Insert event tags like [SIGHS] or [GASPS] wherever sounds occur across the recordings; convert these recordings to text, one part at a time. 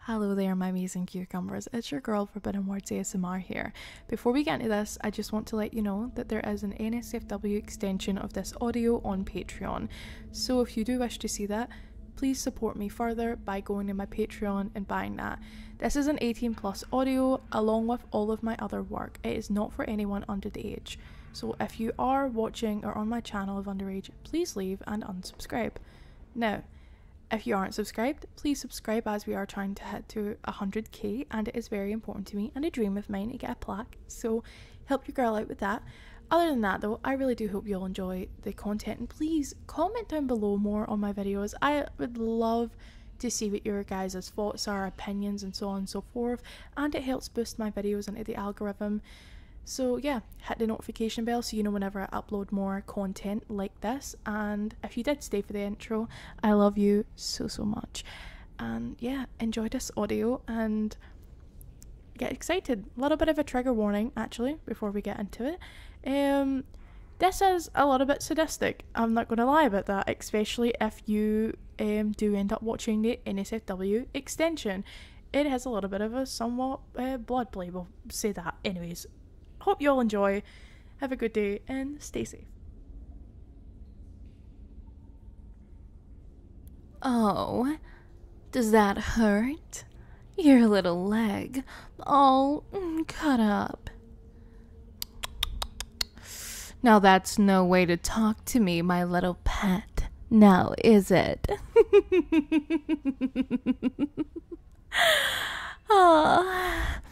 Hello there, my amazing cucumbers. It's your girl Forbidden Words ASMR here. Before we get into this, I just want to let you know that there is an NSFW extension of this audio on Patreon. So if you do wish to see that, please support me further by going to my Patreon and buying that. This is an 18 plus audio along with all of my other work. It is not for anyone under the age. So if you are watching or on my channel of underage, please leave and unsubscribe. Now, if you aren't subscribed, please subscribe as we are trying to hit to 100k and it is very important to me and a dream of mine to get a plaque. So help your girl out with that. Other than that though, I really do hope you all enjoy the content and please comment down below more on my videos. I would love to see what your guys' thoughts are, opinions and so on and so forth and it helps boost my videos into the algorithm so, yeah, hit the notification bell so you know whenever I upload more content like this. And if you did stay for the intro, I love you so, so much. And yeah, enjoy this audio and get excited. A little bit of a trigger warning, actually, before we get into it. Um, this is a little bit sadistic. I'm not going to lie about that, especially if you um, do end up watching the NSFW extension it has a little bit of a somewhat uh, blood play, we'll say that. Anyways, hope you all enjoy, have a good day, and stay safe. Oh, does that hurt? Your little leg, all mm, cut up. Now that's no way to talk to me, my little pet now, is it? [LAUGHS] Ah,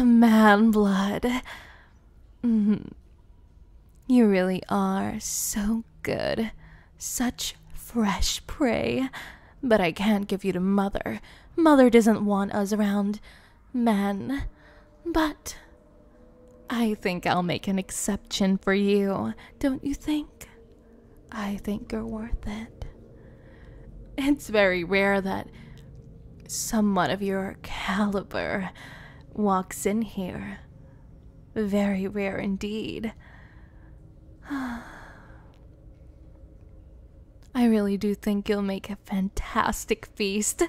oh, man blood. Mm-hmm. You really are so good. Such fresh prey. But I can't give you to Mother. Mother doesn't want us around. Man. But I think I'll make an exception for you, don't you think? I think you're worth it. It's very rare that someone of your caliber walks in here. Very rare indeed. [SIGHS] I really do think you'll make a fantastic feast.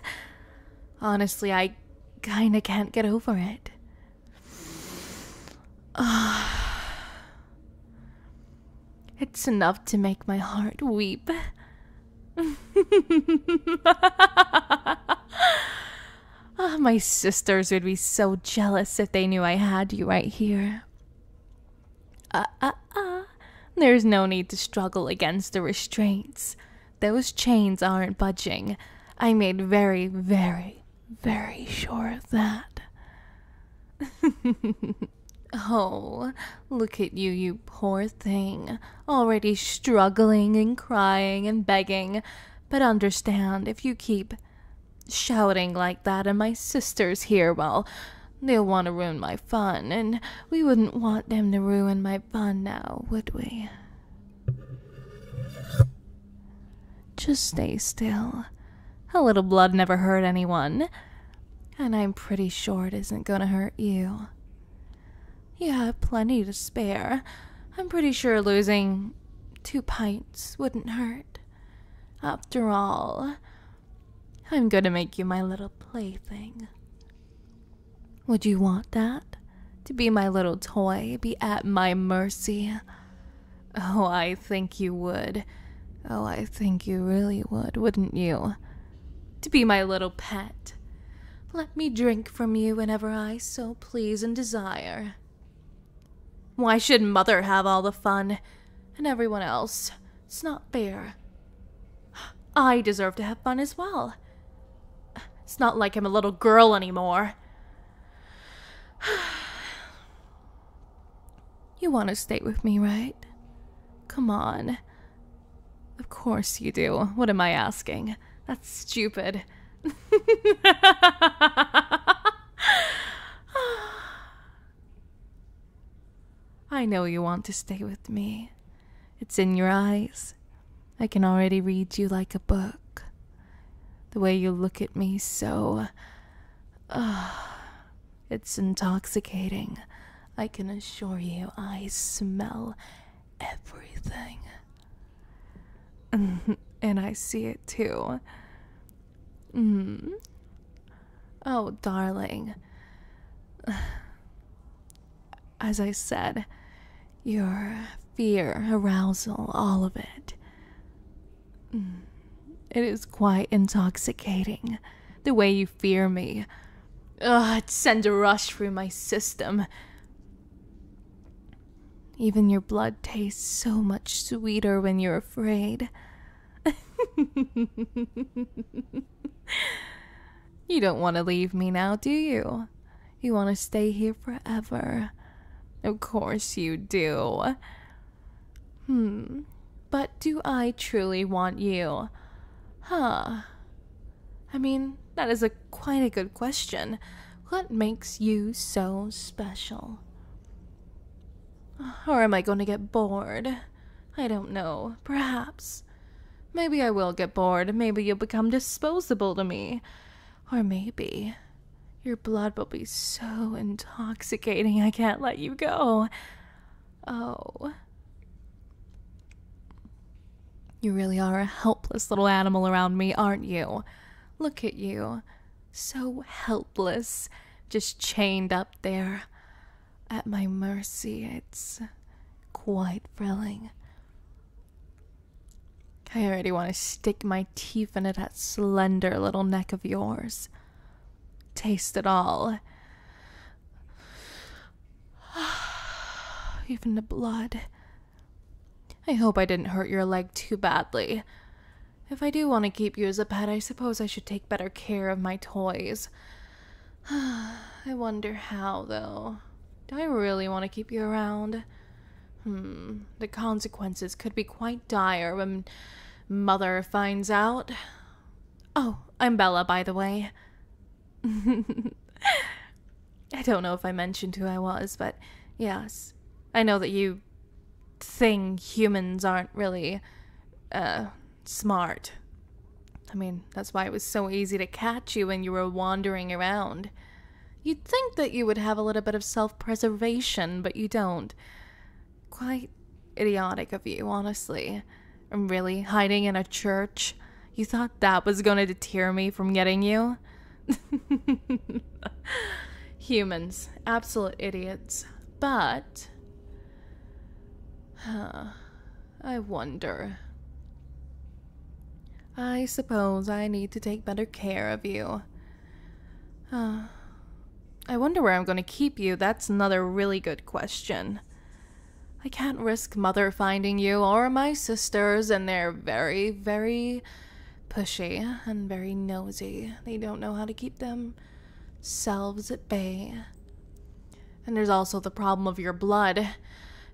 Honestly, I kinda can't get over it. Ah, [SIGHS] it's enough to make my heart weep. [LAUGHS] Ah, my sisters would be so jealous if they knew I had you right here. Ah, ah, ah. There's no need to struggle against the restraints. Those chains aren't budging. I made very, very, very sure of that. [LAUGHS] oh, look at you, you poor thing. Already struggling and crying and begging. But understand, if you keep shouting like that and my sister's hear, well, they'll want to ruin my fun, and we wouldn't want them to ruin my fun now, would we? Just stay still. A little blood never hurt anyone, and I'm pretty sure it isn't gonna hurt you. You have plenty to spare. I'm pretty sure losing two pints wouldn't hurt. After all, I'm gonna make you my little plaything. Would you want that? to be my little toy, be at my mercy. Oh, I think you would. Oh, I think you really would, wouldn't you? To be my little pet. Let me drink from you whenever I so please and desire. Why should Mother have all the fun? And everyone else? It's not fair. I deserve to have fun as well. It's not like I'm a little girl anymore. [SIGHS] you want to stay with me, right? Come on. Of course you do. What am I asking? That's stupid. [SIGHS] I know you want to stay with me. It's in your eyes. I can already read you like a book. The way you look at me so uh, it's intoxicating. I can assure you I smell everything. [LAUGHS] and I see it too. Mm. Oh, darling as I said, your fear, arousal, all of it. Mm. It is quite intoxicating, the way you fear me. Ugh, it sends a rush through my system. Even your blood tastes so much sweeter when you're afraid. [LAUGHS] you don't want to leave me now, do you? You want to stay here forever. Of course you do. Hmm, but do I truly want you? Huh. I mean, that is a quite a good question. What makes you so special? Or am I going to get bored? I don't know. Perhaps. Maybe I will get bored. Maybe you'll become disposable to me. Or maybe your blood will be so intoxicating I can't let you go. Oh. You really are a helpless little animal around me, aren't you? Look at you. So helpless, just chained up there. At my mercy, it's quite thrilling. I already want to stick my teeth into that slender little neck of yours. Taste it all. [SIGHS] Even the blood. I hope I didn't hurt your leg too badly. If I do want to keep you as a pet, I suppose I should take better care of my toys. [SIGHS] I wonder how, though. Do I really want to keep you around? Hmm, the consequences could be quite dire when Mother finds out. Oh, I'm Bella, by the way. [LAUGHS] I don't know if I mentioned who I was, but yes. I know that you thing humans aren't really uh, smart. I mean, that's why it was so easy to catch you when you were wandering around. You'd think that you would have a little bit of self preservation, but you don't. Quite idiotic of you, honestly. I'm really hiding in a church. You thought that was going to deter me from getting you? [LAUGHS] Humans, absolute idiots. But. I wonder. I suppose I need to take better care of you. Uh, I wonder where I'm going to keep you. That's another really good question. I can't risk Mother finding you or my sisters, and they're very, very pushy and very nosy. They don't know how to keep themselves at bay. And there's also the problem of your blood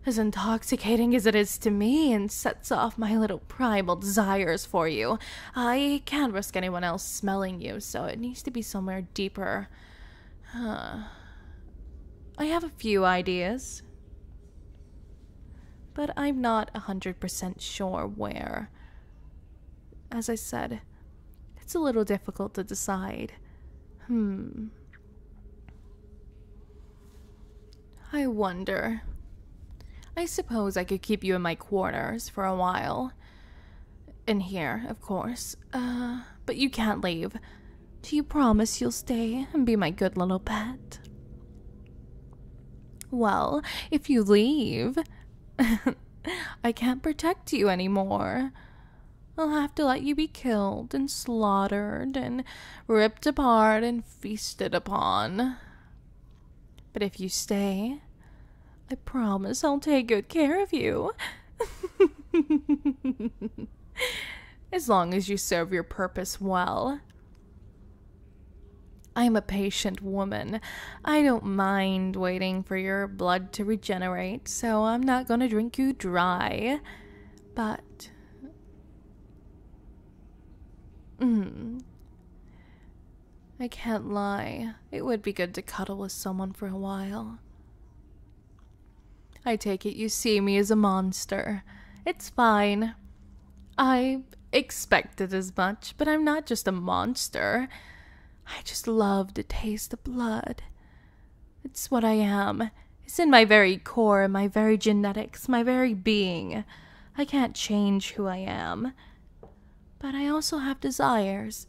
as intoxicating as it is to me and sets off my little primal desires for you. I can't risk anyone else smelling you, so it needs to be somewhere deeper. I have a few ideas. But I'm not 100% sure where. As I said, it's a little difficult to decide. Hmm. I wonder. I suppose I could keep you in my quarters for a while. In here, of course. Uh, but you can't leave. Do you promise you'll stay and be my good little pet? Well, if you leave, [LAUGHS] I can't protect you any more. I'll have to let you be killed and slaughtered and ripped apart and feasted upon. But if you stay, I promise I'll take good care of you. [LAUGHS] as long as you serve your purpose well. I'm a patient woman. I don't mind waiting for your blood to regenerate, so I'm not going to drink you dry. But Hmm. I can't lie. It would be good to cuddle with someone for a while. I take it you see me as a monster. It's fine. I expected as much, but I'm not just a monster. I just love to taste the blood. It's what I am. It's in my very core, my very genetics, my very being. I can't change who I am. But I also have desires,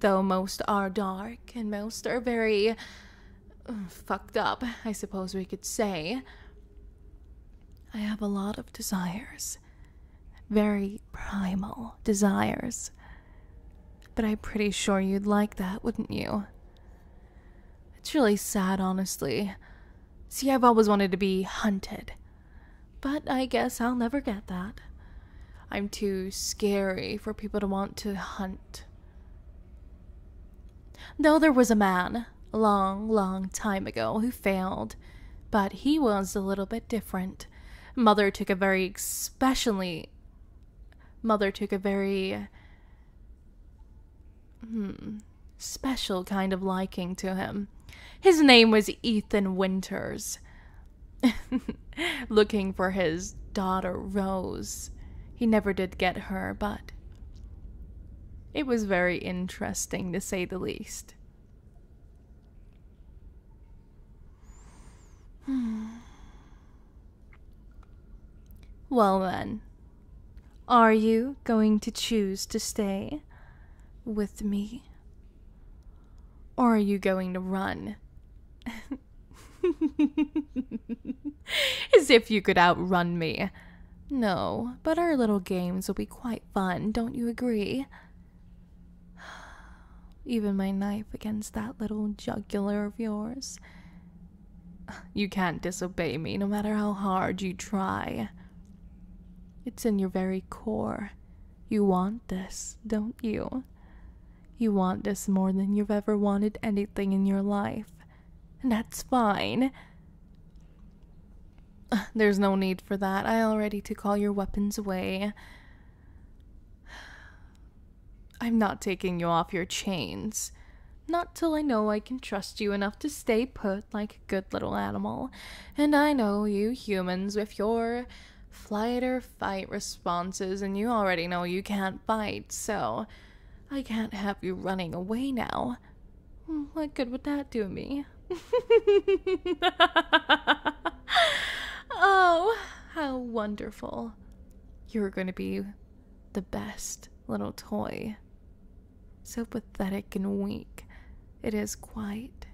though most are dark and most are very uh, fucked up, I suppose we could say. I have a lot of desires, very primal desires. But I'm pretty sure you'd like that, wouldn't you? It's really sad, honestly. See, I've always wanted to be hunted. But I guess I'll never get that. I'm too scary for people to want to hunt. Though there was a man, a long, long time ago, who failed, but he was a little bit different. Mother took a very especially. Mother took a very Hmm. special kind of liking to him. His name was Ethan Winters. [LAUGHS] Looking for his daughter Rose. He never did get her, but it was very interesting to say the least. Hmm. Well, then, are you going to choose to stay with me? Or are you going to run? [LAUGHS] As if you could outrun me. No, but our little games will be quite fun, don't you agree? [SIGHS] Even my knife against that little jugular of yours. You can't disobey me no matter how hard you try. It's in your very core. You want this, don't you? You want this more than you've ever wanted anything in your life. And that's fine. [SIGHS] There's no need for that. I already took all your weapons away. I'm not taking you off your chains. Not till I know I can trust you enough to stay put like a good little animal. And I know you humans with your flight or fight responses, and you already know you can't fight, so I can't have you running away now. What good would that do me? [LAUGHS] oh, how wonderful. You're going to be the best little toy. So pathetic and weak, it is quite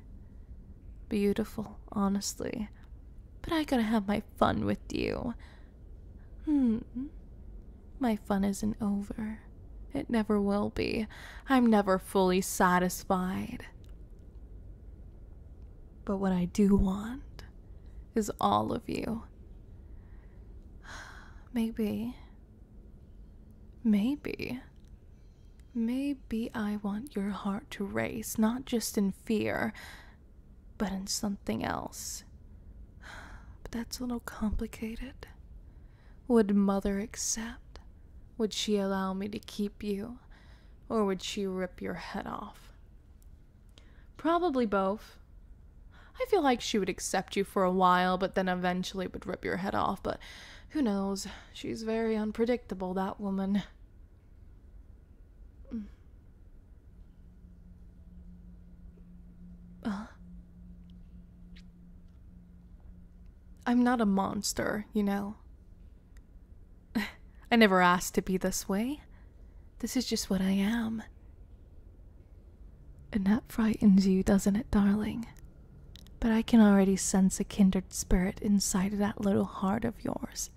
beautiful, honestly. But I gotta have my fun with you. Hmm. My fun isn't over. It never will be. I'm never fully satisfied. But what I do want is all of you. [SIGHS] Maybe, maybe, maybe I want your heart to race, not just in fear, but in something else. [SIGHS] But that's a little complicated. Would Mother accept? Would she allow me to keep you? Or would she rip your head off? Probably both. I feel like she would accept you for a while, but then eventually would rip your head off, but who knows? She's very unpredictable, that woman. [SIGHS] I'm not a monster, you know. [LAUGHS] I never asked to be this way. This is just what I am. And that frightens you, doesn't it, darling? But I can already sense a kindred spirit inside of that little heart of yours.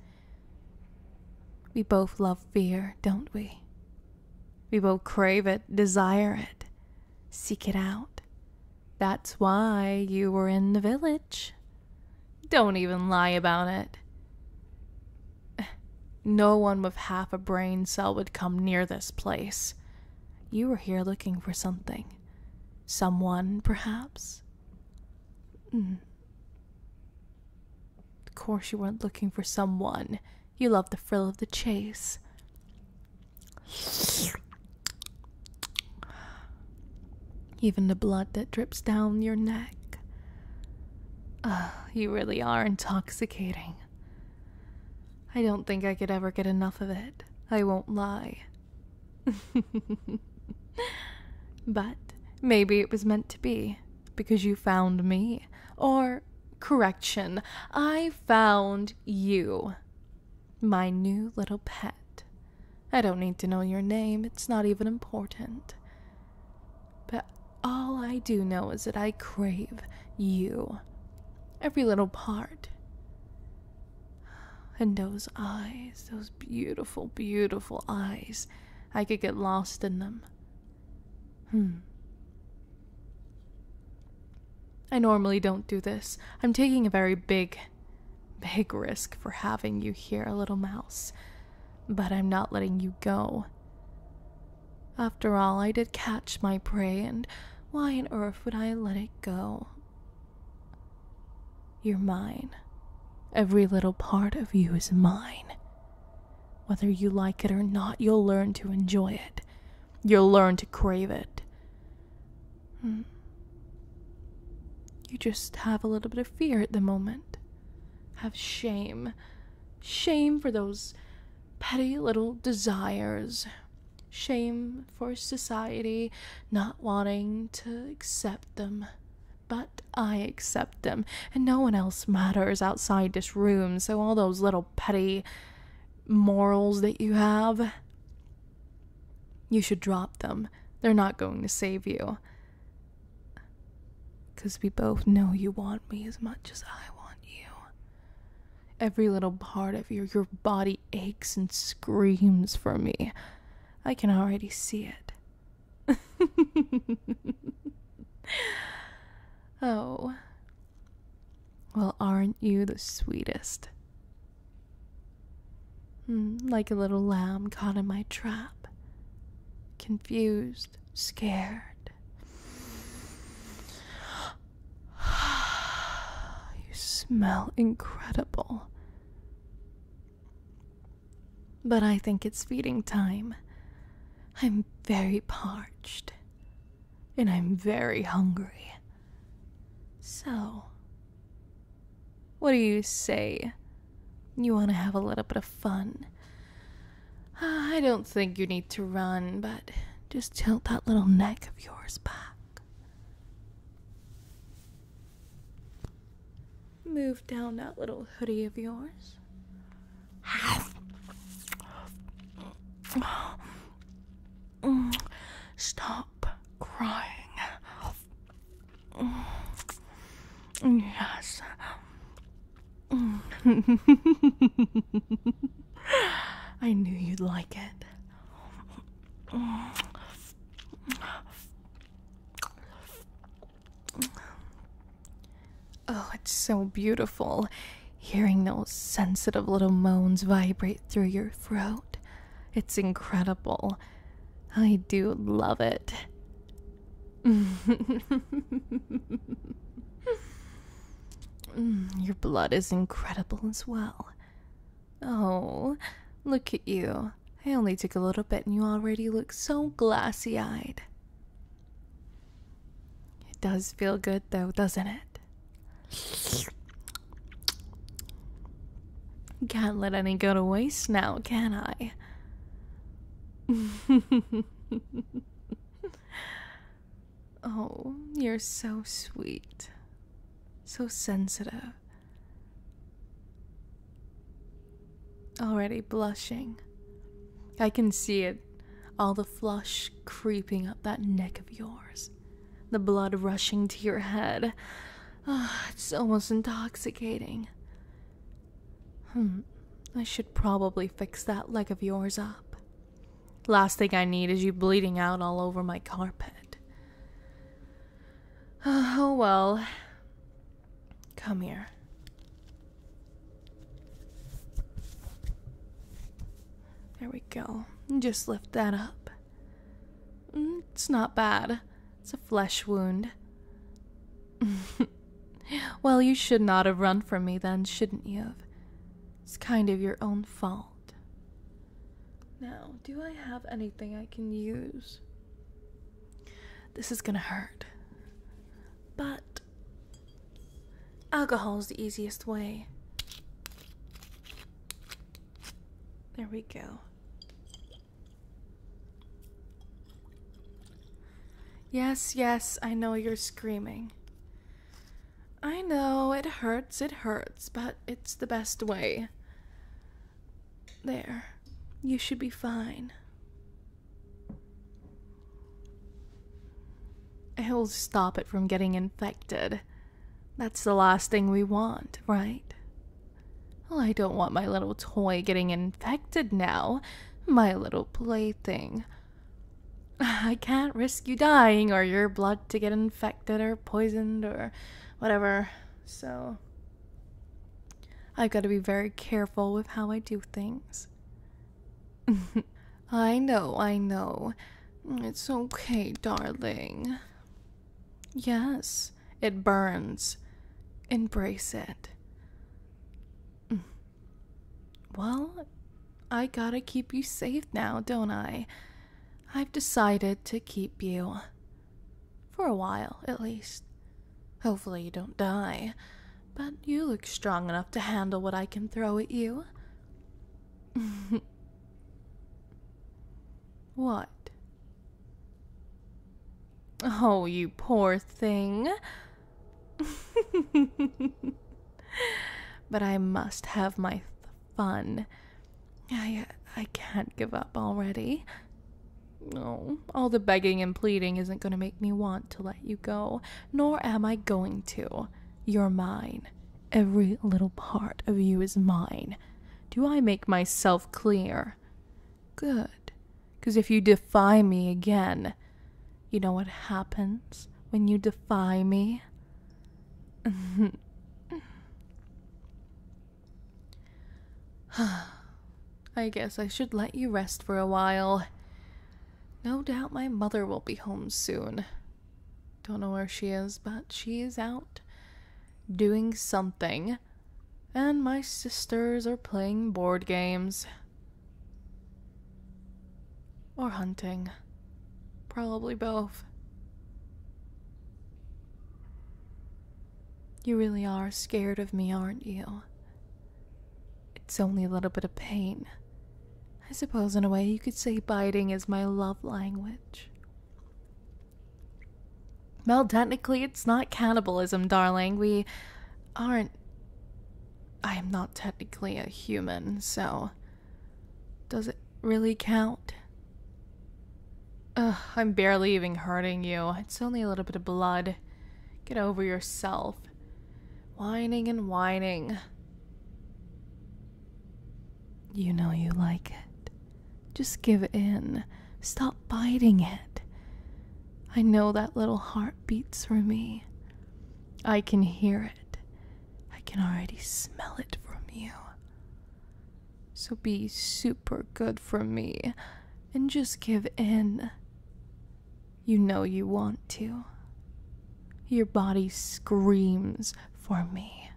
We both love fear, don't we? We both crave it, desire it, seek it out. That's why you were in the village. Don't even lie about it. [SIGHS] No one with half a brain cell would come near this place. You were here looking for something. Someone, perhaps? Mm. Of course, you weren't looking for someone. You love the frill of the chase. [SIGHS] Even the blood that drips down your neck. Ugh, ah, you really are intoxicating. I don't think I could ever get enough of it. I won't lie. [LAUGHS] but maybe it was meant to be because you found me. Or, correction, I found you. My new little pet. I don't need to know your name, it's not even important. But all I do know is that I crave you. Every little part. And those eyes, those beautiful, beautiful eyes. I could get lost in them. Hmm. I normally don't do this. I'm taking a very big, big risk for having you here, little mouse but I'm not letting you go. After all, I did catch my prey, and why on earth would I let it go? You're mine. Every little part of you is mine. Whether you like it or not, you'll learn to enjoy it. You'll learn to crave it. Hmm. You just have a little bit of fear at the moment, have shame, Shame for those petty little desires. Shame for society not wanting to accept them. But I accept them, and no one else matters outside this room, so all those little petty morals that you have, you should drop them. They're not going to save you. Because we both know you want me as much as I want you. Every little part of your, your body aches and screams for me. I can already see it. [LAUGHS] oh. Well, aren't you the sweetest? Hmm, like a little lamb caught in my trap, confused, scared. [SIGHS] You smell incredible. But I think it's feeding time. I'm very parched. And I'm very hungry. So, what do you say you want to have a little bit of fun. Ah, I don't think you need to run, but just tilt that little neck of yours back. Move down that little hoodie of yours. [GASPS] Mm, stop crying. Yes. [LAUGHS] I knew you'd like it. Oh, it's so beautiful hearing those sensitive little moans vibrate through your throat. It's incredible. I do love it. [LAUGHS] Your blood is incredible as well. Oh, look at you. I only took a little bit and you already look so glassy eyed. It does feel good though, doesn't it? Can't let any go to waste now, can I? [LAUGHS] oh, you're so sweet. So sensitive. Already blushing. I can see it. All the flush creeping up that neck of yours. The blood rushing to your head. Oh, it's almost intoxicating. Hmm, I should probably fix that leg of yours up. Last thing I need is you bleeding out all over my carpet. [SIGHS] Oh well. Come here. There we go. Just lift that up. Mm, it's not bad. It's a flesh wound. [LAUGHS] well, you should not have run from me then, shouldn't you have? It's kind of your own fault. Now, do I have anything I can use? This is gonna hurt. But alcohol's the easiest way. There we go. Yes, yes, I know you're screaming. I know, it hurts, it hurts, but it's the best way. There. You should be fine. It'll stop it from getting infected. That's the last thing we want, right? I don't want my little toy getting infected now. My little plaything. [SIGHS] I can't risk you dying or your blood to get infected or poisoned or whatever. So, I've got to be very careful with how I do things. [LAUGHS] I know, I know. It's okay, darling. Yes, it burns. Embrace it. Mm. Well, I gotta keep you safe now, don't I? I've decided to keep you. For a while, at least. Hopefully, you don't die. But you look strong enough to handle what I can throw at you. [LAUGHS] what? Oh, you poor thing. [LAUGHS] but I must have my fun. I I can't give up already. No, all the begging and pleading isn't going to make me want to let you go, nor am I going to. You're mine. Every little part of you is mine. Do I make myself clear? Good. Because if you defy me again, you know what happens when you defy me? [SIGHS] I guess I should let you rest for a while. No doubt my mother will be home soon. Don't know where she is, but she is out doing something and my sisters are playing board games. Or hunting. Probably both. You really are scared of me, aren't you? It's only a little bit of pain. I suppose, in a way, you could say biting is my love language. Well, technically, it's not cannibalism, darling. We aren't. I am not technically a human, so. Does it really count? I'm barely even hurting you. It's only a little bit of blood. Get over yourself. Whining and whining. You know you like it. Just give in. Stop biting it. I know that little heart beats for me. I can hear it. I can already smell it from you. So be super good for me and just give in. You know you want to. Your body screams for me.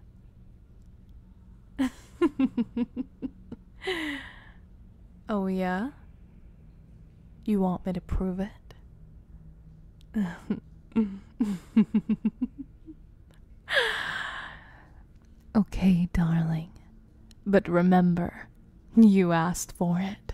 [LAUGHS] oh, yeah? You want me to prove it? [LAUGHS] okay, darling. But remember, you asked for it.